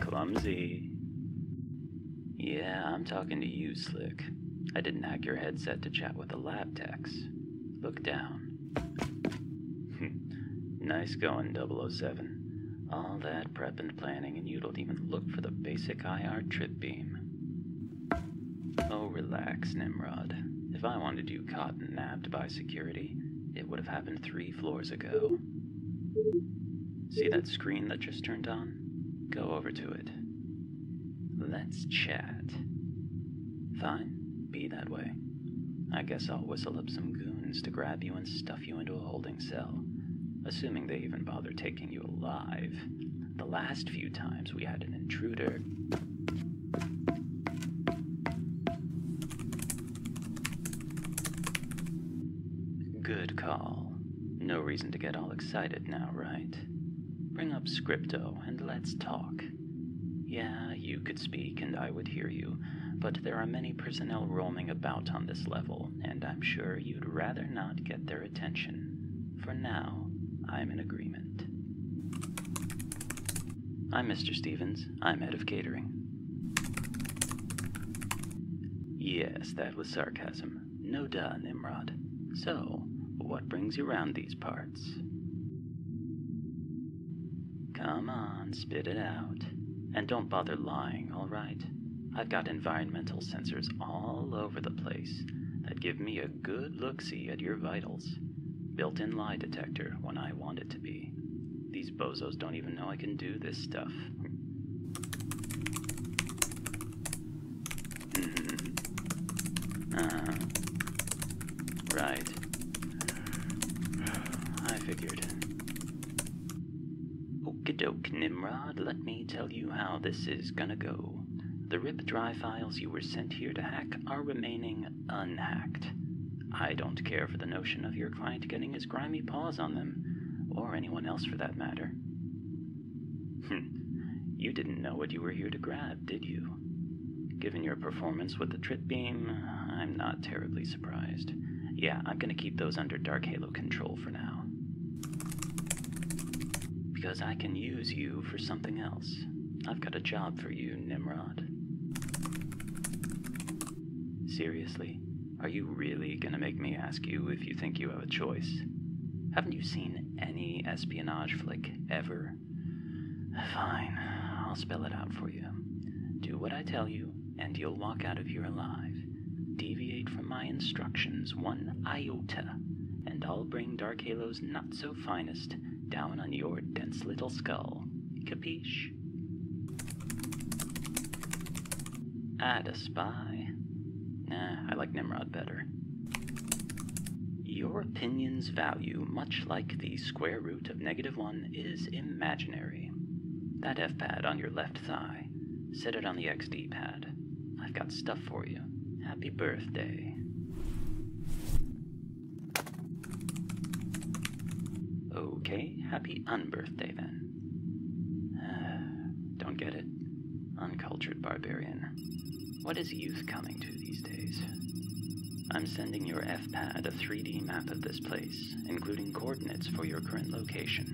Clumsy. Yeah, I'm talking to you, Slick. I didn't hack your headset to chat with the lab techs. Look down. Hmm. nice going, 007. All that prep and planning, and you don't even look for the basic IR trip beam. Oh, relax, Nimrod. If I wanted you caught and nabbed by security, it would have happened three floors ago. See that screen that just turned on? Go over to it. Let's chat. Fine, be that way. I guess I'll whistle up some goons to grab you and stuff you into a holding cell, assuming they even bother taking you alive. The last few times we had an intruder. Good call. No reason to get all excited now, right? Bring up Scripto and let's talk. Yeah, you could speak and I would hear you, but there are many personnel roaming about on this level, and I'm sure you'd rather not get their attention. For now, I'm in agreement. I'm Mr. Stevens. I'm head of catering. Yes, that was sarcasm. No doubt, Nimrod. So, what brings you round these parts? Come on, spit it out. And don't bother lying, alright? I've got environmental sensors all over the place that give me a good look see at your vitals. Built in lie detector when I want it to be. These bozos don't even know I can do this stuff. Uh-huh. Right. I figured. Okadoke Nimrod, let me tell you how this is gonna go. The RIP dry files you were sent here to hack are remaining unhacked. I don't care for the notion of your client getting his grimy paws on them, or anyone else for that matter. Hmm. you didn't know what you were here to grab, did you? Given your performance with the trit beam, I'm not terribly surprised. Yeah, I'm gonna keep those under Dark Halo control for now. Because I can use you for something else. I've got a job for you, Nimrod. Seriously? Are you really gonna make me ask you if you think you have a choice? Haven't you seen any espionage flick ever? Fine, I'll spell it out for you. Do what I tell you, and you'll walk out of here alive. Deviate from my instructions one iota, and I'll bring Dark Halo's not so finest down on your dense little skull. Capiche? I'd a spy. Nah, I like Nimrod better. Your opinions value much like the square root root of negative 1 is imaginary. That F pad on your left thigh. Set it on the XD pad. I've got stuff for you. Happy birthday. Okay, happy unbirthday then. Don't get it? Uncultured barbarian. What is youth coming to these days? I'm sending your F-pad a 3D map of this place, including coordinates for your current location.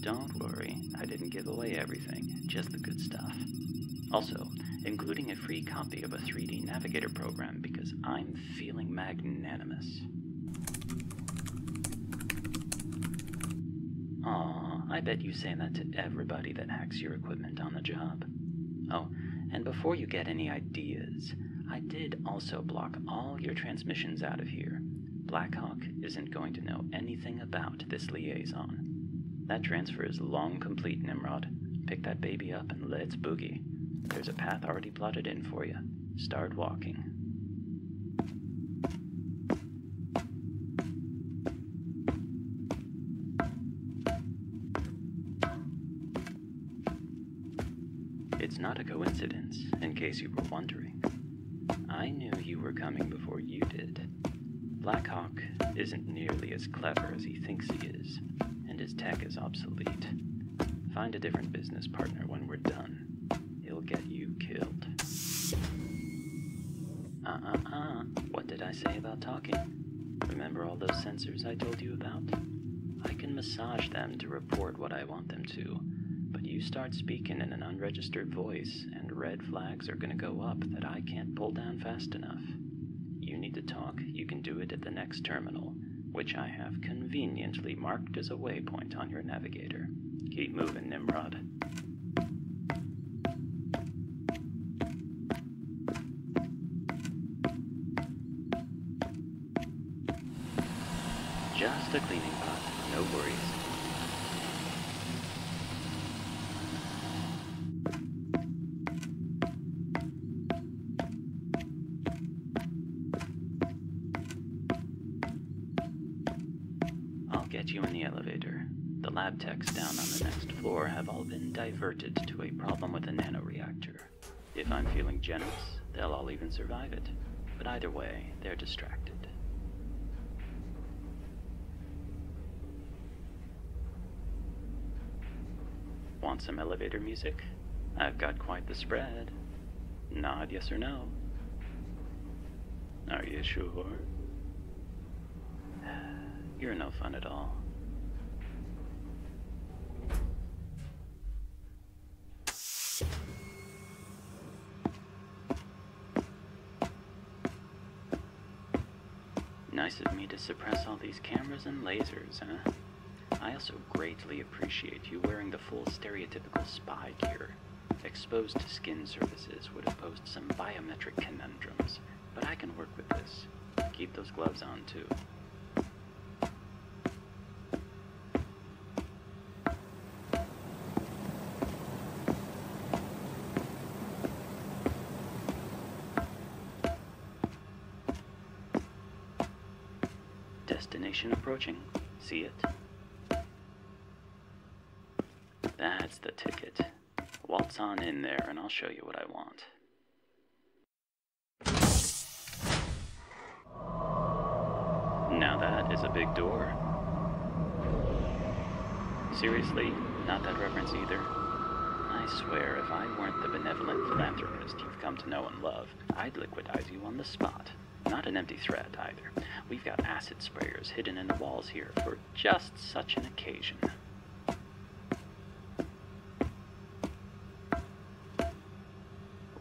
Don't worry, I didn't give away everything, just the good stuff. Also, including a free copy of a 3D Navigator program because I'm feeling magnanimous. Ah, I bet you say that to everybody that hacks your equipment on the job. Oh, and before you get any ideas, I did also block all your transmissions out of here. Blackhawk isn't going to know anything about this liaison. That transfer is long complete, Nimrod. Pick that baby up and let's boogie. There's a path already plotted in for you. Start walking. It's not a coincidence, in case you were wondering. I knew you were coming before you did. Blackhawk isn't nearly as clever as he thinks he is, and his tech is obsolete. Find a different business partner when we're done. He'll get you killed. Uh uh uh, what did I say about talking? Remember all those sensors I told you about? I can massage them to report what I want them to, but you start speaking in an unregistered voice, and red flags are going to go up that I can't pull down fast enough. You need to talk, you can do it at the next terminal, which I have conveniently marked as a waypoint on your navigator. Keep moving, Nimrod. Just a cleaning pot, no worries. I'll get you in the elevator. The lab techs down on the next floor have all been diverted to a problem with a nanoreactor. If I'm feeling generous, they'll all even survive it. But either way, they're distracted. Want some elevator music? I've got quite the spread. Nod yes or no. Are you sure? You're no fun at all. Nice of me to suppress all these cameras and lasers, huh? I also greatly appreciate you wearing the full stereotypical spy gear. Exposed skin surfaces would have posed some biometric conundrums, but I can work with this. Keep those gloves on, too. Destination approaching. See it? That's the ticket. Waltz on in there and I'll show you what I want. Now that is a big door. Seriously, not that reference either. I swear, if I weren't the benevolent philanthropist you've come to know and love, I'd liquidize you on the spot. Not an empty threat, either. We've got acid sprayers hidden in the walls here for just such an occasion.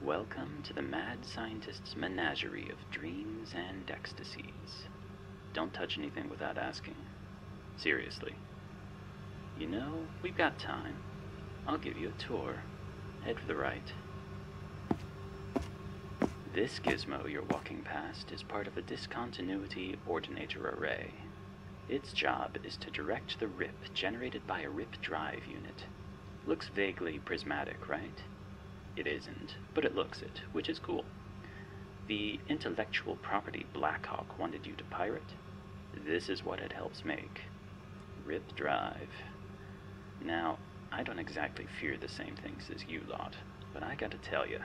Welcome to the mad scientist's menagerie of dreams and ecstasies. Don't touch anything without asking. Seriously. You know, we've got time. I'll give you a tour. Head for the right. This gizmo you're walking past is part of a discontinuity ordinator array. Its job is to direct the RIP generated by a RIP drive unit. Looks vaguely prismatic, right? It isn't, but it looks it, which is cool. The intellectual property Blackhawk wanted you to pirate, this is what it helps make. RIP drive. Now, I don't exactly fear the same things as you lot, but I gotta tell you,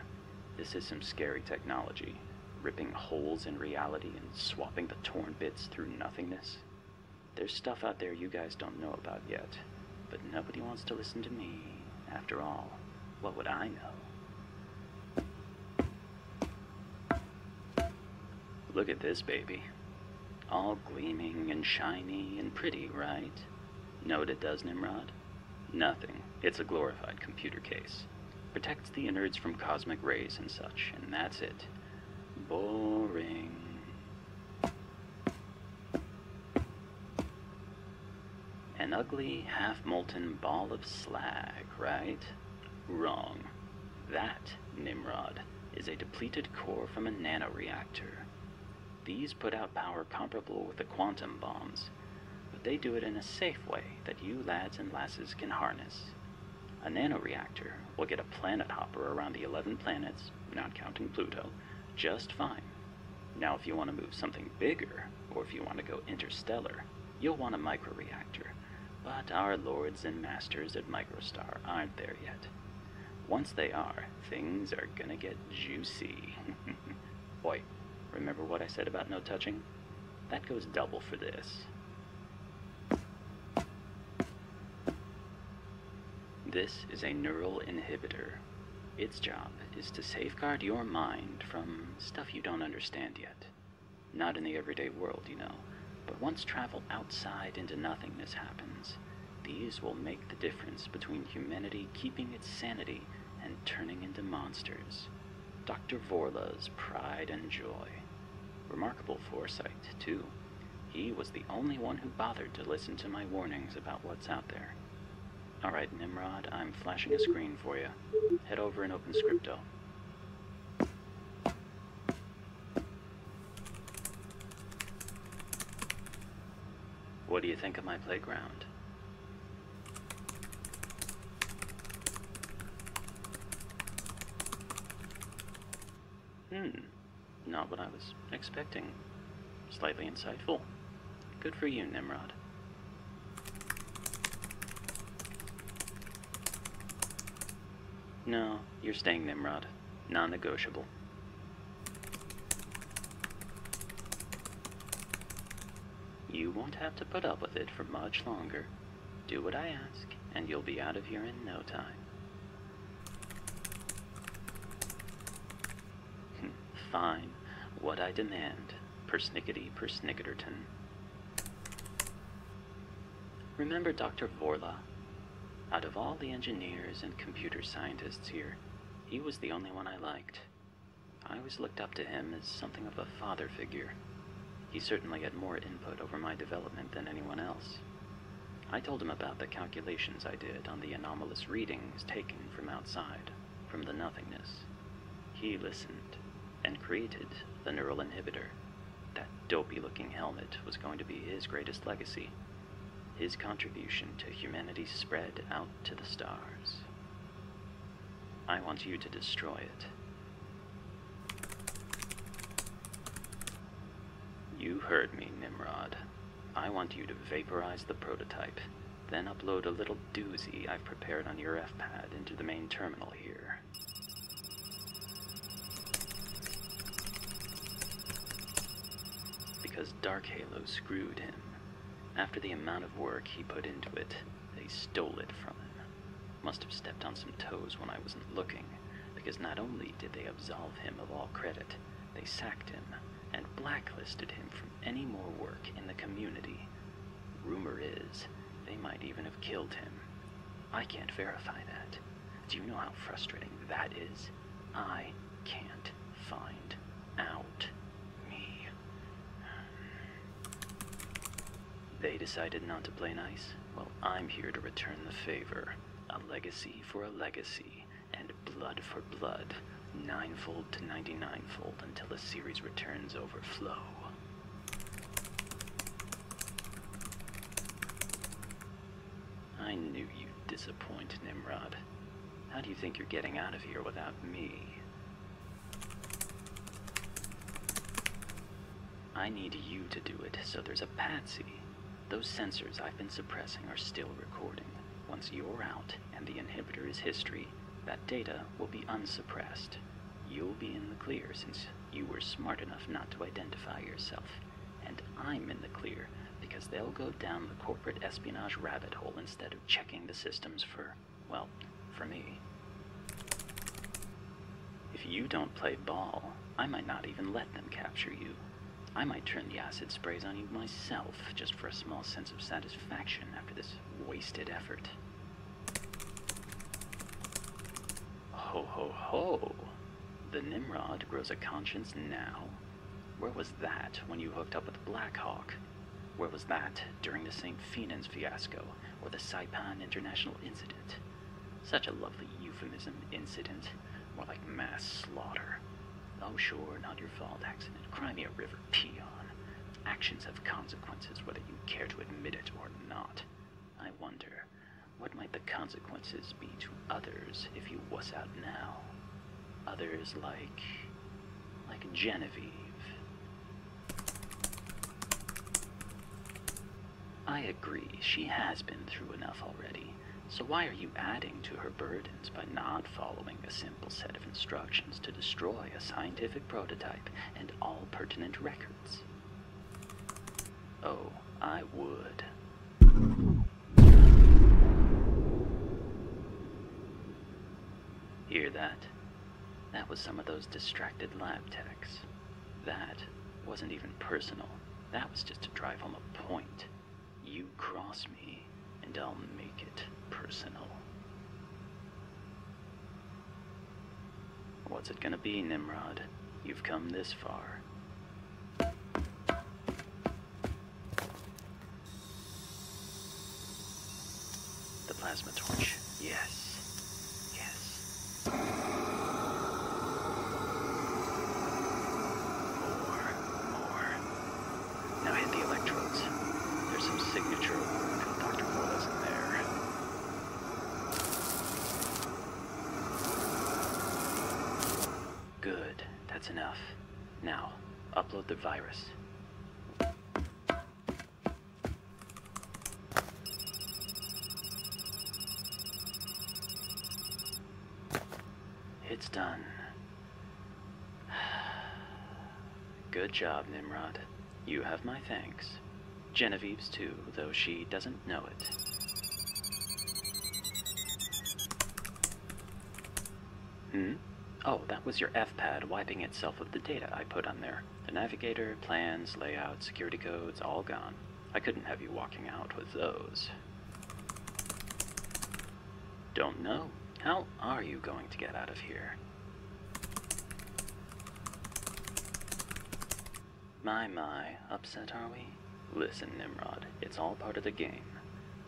this is some scary technology, ripping holes in reality and swapping the torn bits through nothingness. There's stuff out there you guys don't know about yet, but nobody wants to listen to me. After all, what would I know? Look at this baby. All gleaming and shiny and pretty, right? Know what it does, Nimrod? Nothing. It's a glorified computer case. Protects the innards from cosmic rays and such, and that's it. Boring. An ugly, half-molten ball of slag, right? Wrong. That, Nimrod, is a depleted core from a nanoreactor. These put out power comparable with the quantum bombs, but they do it in a safe way that you lads and lasses can harness. A nanoreactor We'll get a planet hopper around the 11 planets, not counting Pluto, just fine. Now, if you want to move something bigger, or if you want to go interstellar, you'll want a microreactor. But our lords and masters at Microstar aren't there yet. Once they are, things are gonna get juicy. Boy, remember what I said about no touching? That goes double for this. This is a neural inhibitor. Its job is to safeguard your mind from stuff you don't understand yet. Not in the everyday world, you know, but once travel outside into nothingness happens, these will make the difference between humanity keeping its sanity and turning into monsters. Dr. Vorla's pride and joy. Remarkable foresight, too. He was the only one who bothered to listen to my warnings about what's out there. Alright, Nimrod, I'm flashing a screen for you. Head over and open Scripto. What do you think of my playground? Hmm. Not what I was expecting. Slightly insightful. Good for you, Nimrod. No, you're staying Nimrod. Non-negotiable. You won't have to put up with it for much longer. Do what I ask, and you'll be out of here in no time. Hmm, fine. What I demand. Persnickety persnicketerton. Remember Dr. Vorla. Out of all the engineers and computer scientists here, he was the only one I liked. I always looked up to him as something of a father figure. He certainly had more input over my development than anyone else. I told him about the calculations I did on the anomalous readings taken from outside, from the nothingness. He listened and created the neural inhibitor. That dopey looking helmet was going to be his greatest legacy. His contribution to humanity spread out to the stars. I want you to destroy it, you heard me, Nimrod. I want you to vaporize the prototype, then upload a little doozy I've prepared on your F-pad into the main terminal here. Because Dark Halo screwed him. After the amount of work he put into it, they stole it from him. Must have stepped on some toes when I wasn't looking, because not only did they absolve him of all credit, they sacked him and blacklisted him from any more work in the community. Rumor is, they might even have killed him. I can't verify that. Do you know how frustrating that is? I can't find out. Me. They decided not to play nice. Well, I'm here to return the favor. A legacy for a legacy, and blood for blood. Ninefold to ninety-ninefold until the series returns overflow. I knew you'd disappoint, Nimrod. How do you think you're getting out of here without me? I need you to do it, so there's a patsy. Those sensors I've been suppressing are still recording. Once you're out and the inhibitor is history, that data will be unsuppressed. You'll be in the clear since you were smart enough not to identify yourself. And I'm in the clear because they'll go down the corporate espionage rabbit hole instead of checking the systems for, well, for me. If you don't play ball, I might not even let them capture you. I might turn the acid sprays on you myself, just for a small sense of satisfaction after this wasted effort. Ho ho ho! The Nimrod grows a conscience now. Where was that when you hooked up with Blackhawk? Where was that during the St. Fenan's fiasco or the Saipan International incident? Such a lovely euphemism incident. More like mass slaughter. Oh sure, not your fault accident. Crimea River peon. Actions have consequences whether you care to admit it or not. I wonder, what might the consequences be to others if you wuss out now? Others like... like Genevieve. I agree, she has been through enough already. So why are you adding to her burdens by not following a simple set of instructions to destroy a scientific prototype and all pertinent records? Oh, I would. Hear that? That was some of those distracted lab techs. That wasn't even personal. That was just to drive home a point. You cross me, and I'll make it personal. What's it gonna be, Nimrod? You've come this far. The plasma torch, yes. Yes. More, more. Now hit the electrodes. There's some signature award from Dr. Corliss in there. Good. That's enough. Now, upload the virus. It's done. Good job, Nimrod. You have my thanks. Genevieve's too, though she doesn't know it. Hmm? Oh, that was your F-pad wiping itself of the data I put on there. The navigator, plans, layout, security codes, all gone. I couldn't have you walking out with those. Don't know. How are you going to get out of here? My, my, upset are we? Listen, Nimrod, it's all part of the game.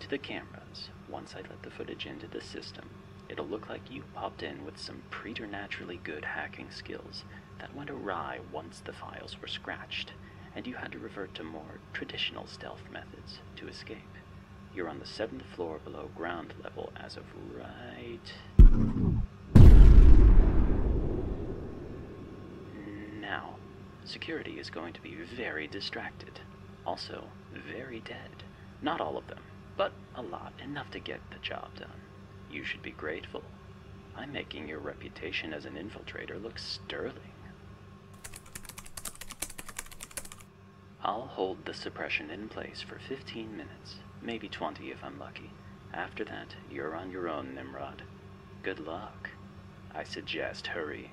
To the cameras, once I let the footage into the system, it'll look like you popped in with some preternaturally good hacking skills that went awry once the files were scratched, and you had to revert to more traditional stealth methods to escape. You're on the seventh floor below ground level as of right... Now, security is going to be very distracted. Also, very dead. Not all of them, but a lot, enough to get the job done. You should be grateful. I'm making your reputation as an infiltrator look sterling. I'll hold the suppression in place for 15 minutes, maybe 20 if I'm lucky. After that, you're on your own, Nimrod. Good luck. I suggest hurrying.